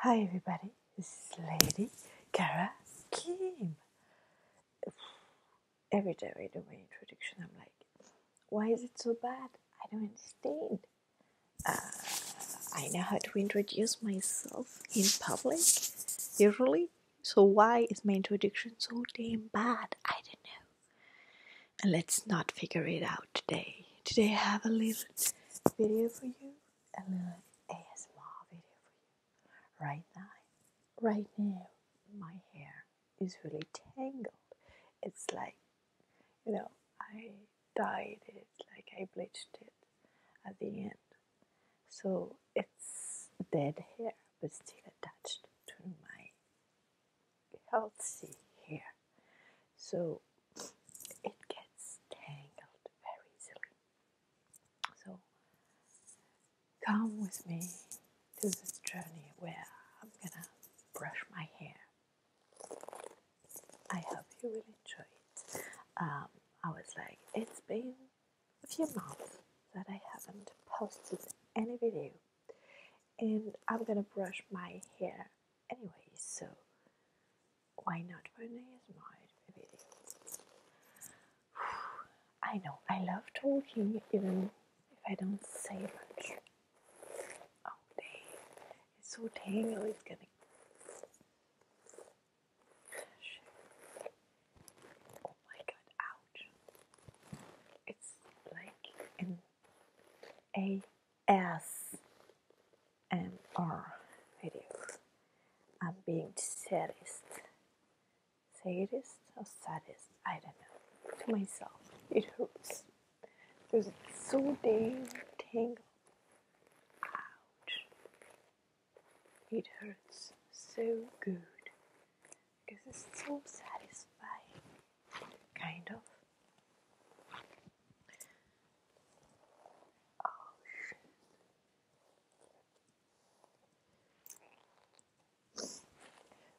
Hi everybody, this is Lady Kara Kim. Every time I do my introduction, I'm like, why is it so bad? I don't understand. Uh, I know how to introduce myself in public, usually. So why is my introduction so damn bad? I don't know. And let's not figure it out today. Today I have a little video for you, a little ASMR video for you. Right now, right now, my hair is really tangled. It's like, you know, I dyed it, like I bleached it at the end so it's dead hair, but still attached to my healthy hair. So it gets tangled very easily. So come with me to this journey where I'm gonna brush my hair. I hope you will enjoy it. Um, I was like, it's been a few months that I haven't posted any video, and I'm gonna brush my hair anyway, so why not produce my video? I know, I love talking even if I don't say much. Oh, dang, it's so tangled, it's getting. Oh my god, ouch. It's like an ASMR video. I'm being saddest. Sadist or saddest? I don't know. To myself, it hurts. There's so dang tangled Ouch. It hurts so good because it's so satisfying, kind of. Oh,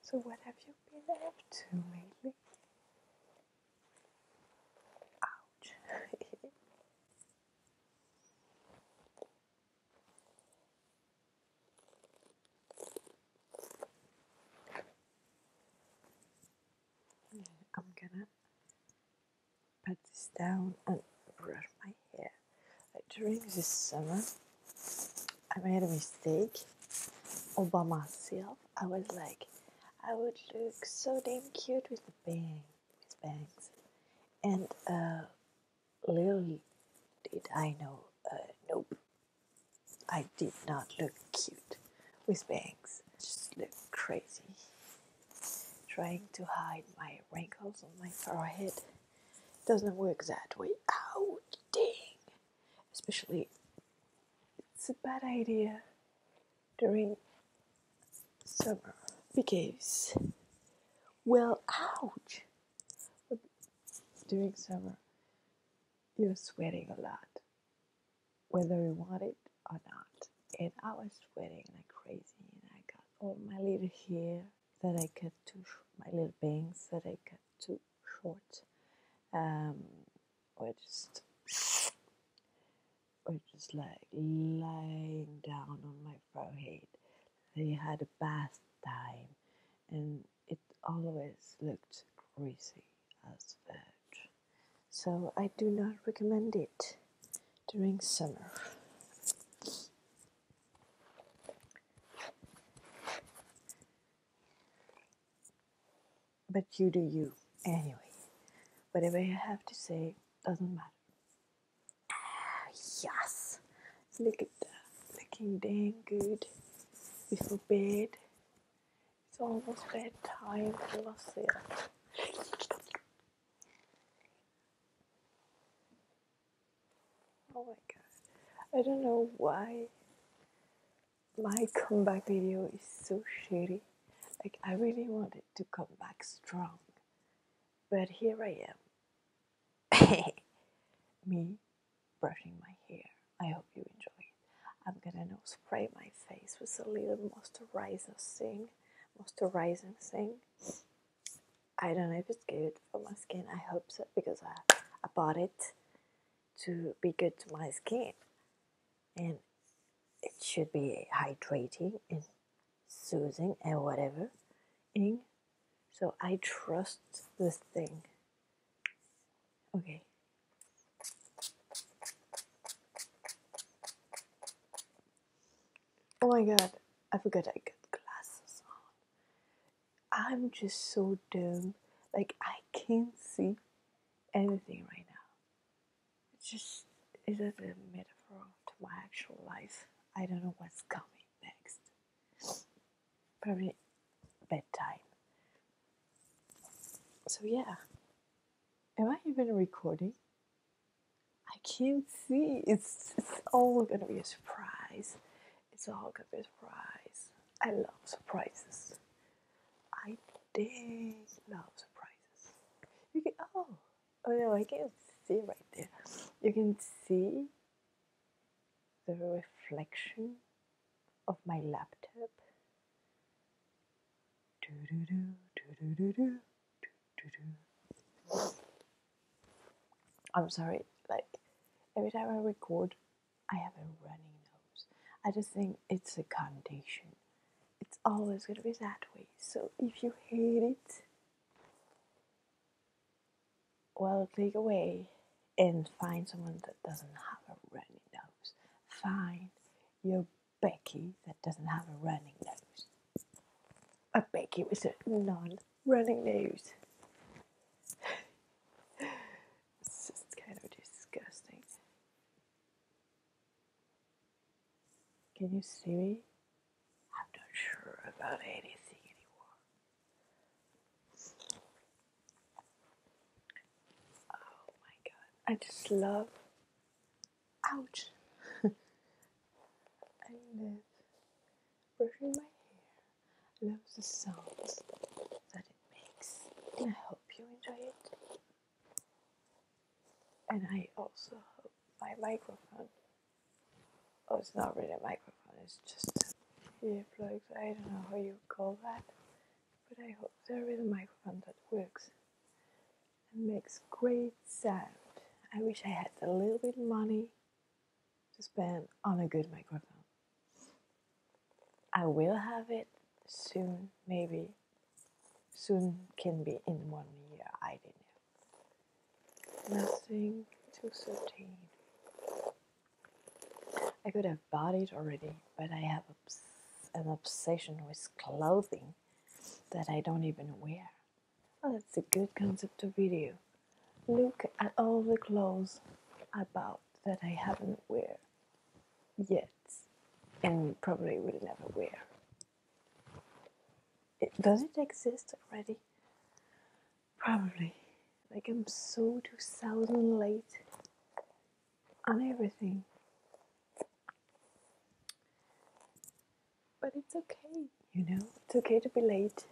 So, what have you been up to lately? Ouch. I'm gonna pat this down and brush my hair. During this summer, I made a mistake all by myself. I was like, I would look so damn cute with the bang, with bangs. And uh, little did I know, uh, nope, I did not look cute with bangs. Just looked crazy, trying to hide my wrinkles on my forehead. Doesn't work that way. Oh, dang! Especially, it's a bad idea during summer because, well, ouch! during summer, you're sweating a lot, whether you want it or not. And I was sweating like crazy, and I got all my little hair that I cut too, my little bangs that I cut too short. Um, or just or just like lying down on my forehead. They had a bath time and it always looked greasy as fudge. So I do not recommend it during summer. But you do you anyway. Whatever I have to say doesn't matter. Ah, yes! Look at that. Looking dang good. Before bed. It's almost bedtime. I love that. Oh my god. I don't know why my comeback video is so shitty. Like, I really wanted to come back strong, but here I am. Me brushing my hair. I hope you enjoy it. I'm gonna now spray my face with a little moisturizer thing. Moisturizing thing. I don't know if it's good for my skin. I hope so because I, I bought it to be good to my skin and it should be hydrating and soothing and whatever. -ing. So I trust this thing. Okay. Oh my god, I forgot I got glasses on. I'm just so dumb. Like, I can't see anything right now. It's just its just a metaphor to my actual life. I don't know what's coming next. Probably bedtime. So yeah. Am I even recording? I can't see. It's it's all gonna be a surprise. It's all gonna be a surprise. I love surprises. I dang love surprises. You can oh oh no I can't see right there. You can see the reflection of my laptop. I'm sorry, like every time I record I have a running nose. I just think it's a condition. It's always going to be that way. So if you hate it, well, take away and find someone that doesn't have a running nose. Find your Becky that doesn't have a running nose. A Becky with a non running nose. It's just kind of disgusting. Can you see me? I'm not sure about anything anymore. Oh my god. I just love. Ouch! I live brushing my hair love the sound that it makes. And I hope you enjoy it. And I also hope my microphone. Oh, it's not really a microphone, it's just earplugs. I don't know how you call that. But I hope there is a microphone that works and makes great sound. I wish I had a little bit of money to spend on a good microphone. I will have it soon, maybe. Soon can be in one year, I don't know. Nothing to sustain. I could have bought it already, but I have an obsession with clothing that I don't even wear. Oh, that's a good concept of video. Look at all the clothes I bought that I haven't wear yet and probably will never wear. does it exist already? Probably. Like I'm so 2000 late on everything. But it's okay, you know? It's okay to be late.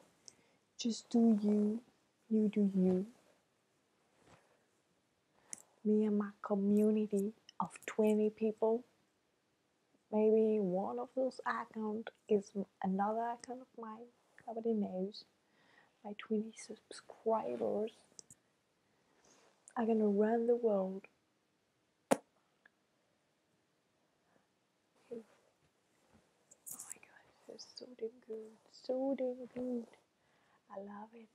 Just do you, you do you. Me and my community of 20 people. Maybe one of those account is another account of mine. Nobody knows. My 20 subscribers are gonna run the world. Oh my gosh, that's so damn good. So damn good. I love it.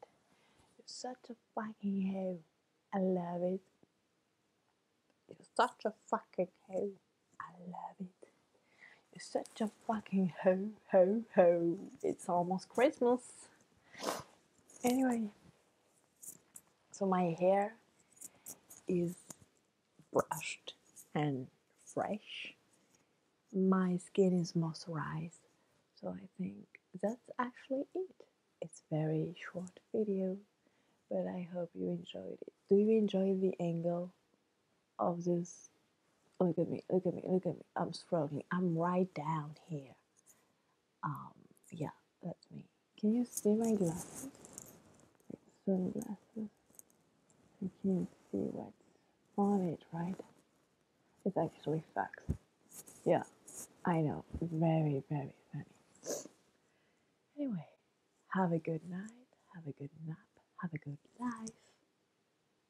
You're such a fucking hoe. I love it. You're such a fucking hoe. I love it. You're such a fucking hoe, hoe, hoe. It's almost Christmas. Anyway, so my hair is brushed and fresh. My skin is moisturized, so I think that's actually it. It's very short video, but I hope you enjoyed it. Do you enjoy the angle of this? Look at me, look at me, look at me. I'm struggling. I'm right down here. Um, yeah, that's me. Can you see my glasses? Sunglasses. You can't see what's on it, right? It's actually facts. Yeah, I know. Very, very funny. Anyway, have a good night, have a good nap, have a good life.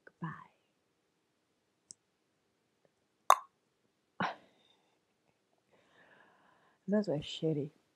Goodbye. Those were shitty.